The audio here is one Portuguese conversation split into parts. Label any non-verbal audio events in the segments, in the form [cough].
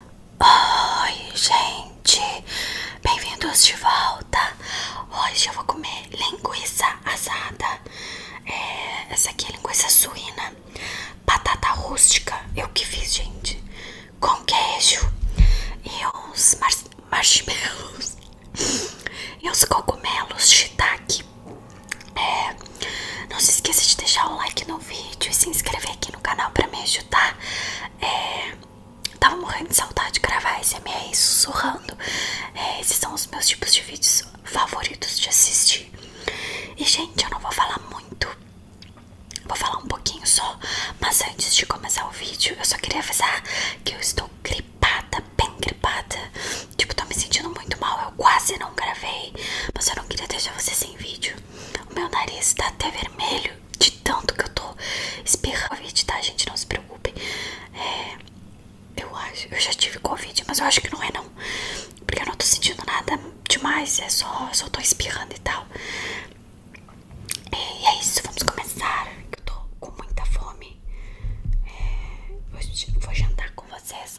Oi, gente! Bem-vindos de volta! Hoje eu vou comer linguiça assada. É, essa aqui é linguiça suína, batata rústica, eu que fiz, gente, com queijo e uns marshmallows e uns cogumelos shiitake. É, não se esqueça de deixar o like no vídeo e se inscrever aqui no canal para me ajudar tá? É, tava morrendo de saudade de gravar esse SMR sussurrando. É, esses são os meus tipos de vídeos favoritos de assistir. E, gente, eu não vou falar muito. Vou falar um pouquinho só. Mas antes de começar o vídeo, eu só queria avisar que eu estou gripada, bem gripada. Tipo, tô me sentindo muito mal. Eu quase não gravei. Mas eu não queria deixar você sem vídeo. O meu nariz tá até vermelho de tanto que eu tô espirrando Covid, tá, gente? Não se preocupem. É, eu acho, eu já tive Covid, mas eu acho que não é não. Porque eu não tô sentindo nada demais, é só, só tô espirrando e tal. É, e é isso, vamos começar. que Eu tô com muita fome. É, vou jantar com vocês.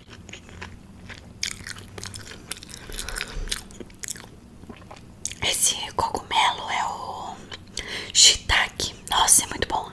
Esse cogumelo é o shiitake. Nossa, é muito bom.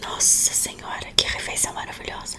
Nossa Senhora, que refeição maravilhosa!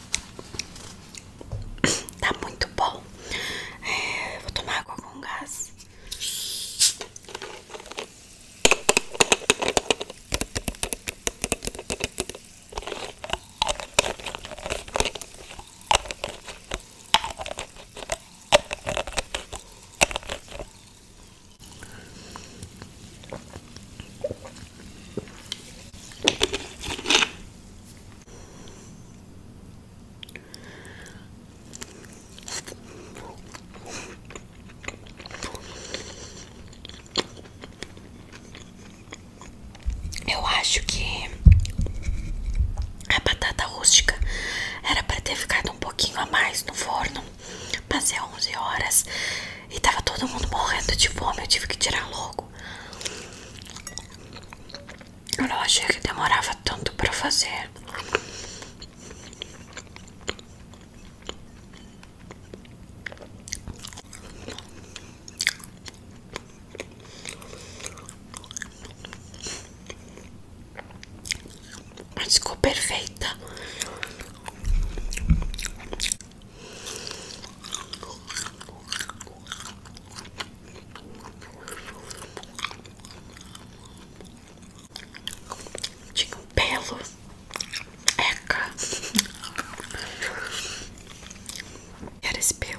[coughs] Tá muito bom. É, vou tomar água com gás. Eu acho que a batata rústica era para ter ficado um pouquinho a mais no forno, passei é 11 horas e tava todo mundo morrendo de fome, eu tive que tirar logo. Eu não achei que demorava tanto pra fazer. Mas ficou perfeita. Tinha um belo eca. Era esse pelo.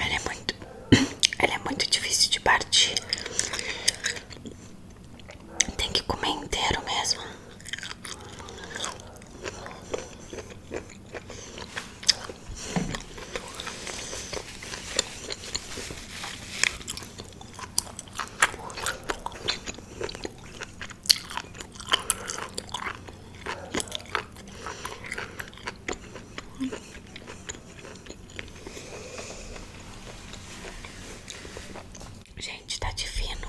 Ela é muito, [coughs] ela é muito difícil de partir. Tem que comer inteiro mesmo. Gente, tá divino.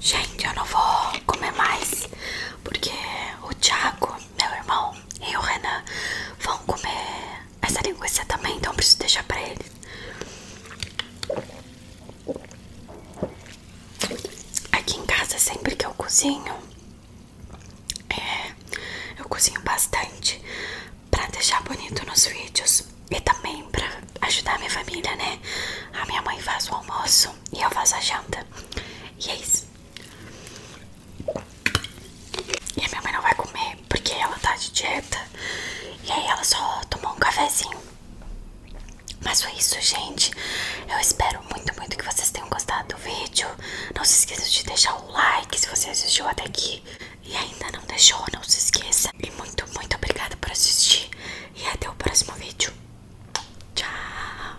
Gente, eu não vou comer mais porque o Thiago meu irmão e o Renan vão comer essa linguiça também, então preciso deixar para eles. Aqui em casa, sempre que eu cozinho, é, eu cozinho bastante para deixar bonito nos vídeos e também para ajudar a minha família, né? A minha mãe faz o almoço e eu faço a janta. E é isso. E a minha mãe não vai comer porque ela tá de dieta. E aí ela só tomou um cafezinho. Mas foi isso, gente. Eu espero muito, muito que vocês tenham gostado do vídeo. Não se esqueça de deixar o like se você assistiu até aqui. E ainda não deixou, não se esqueça. E muito, muito obrigada por assistir. E até o próximo vídeo. Tchau!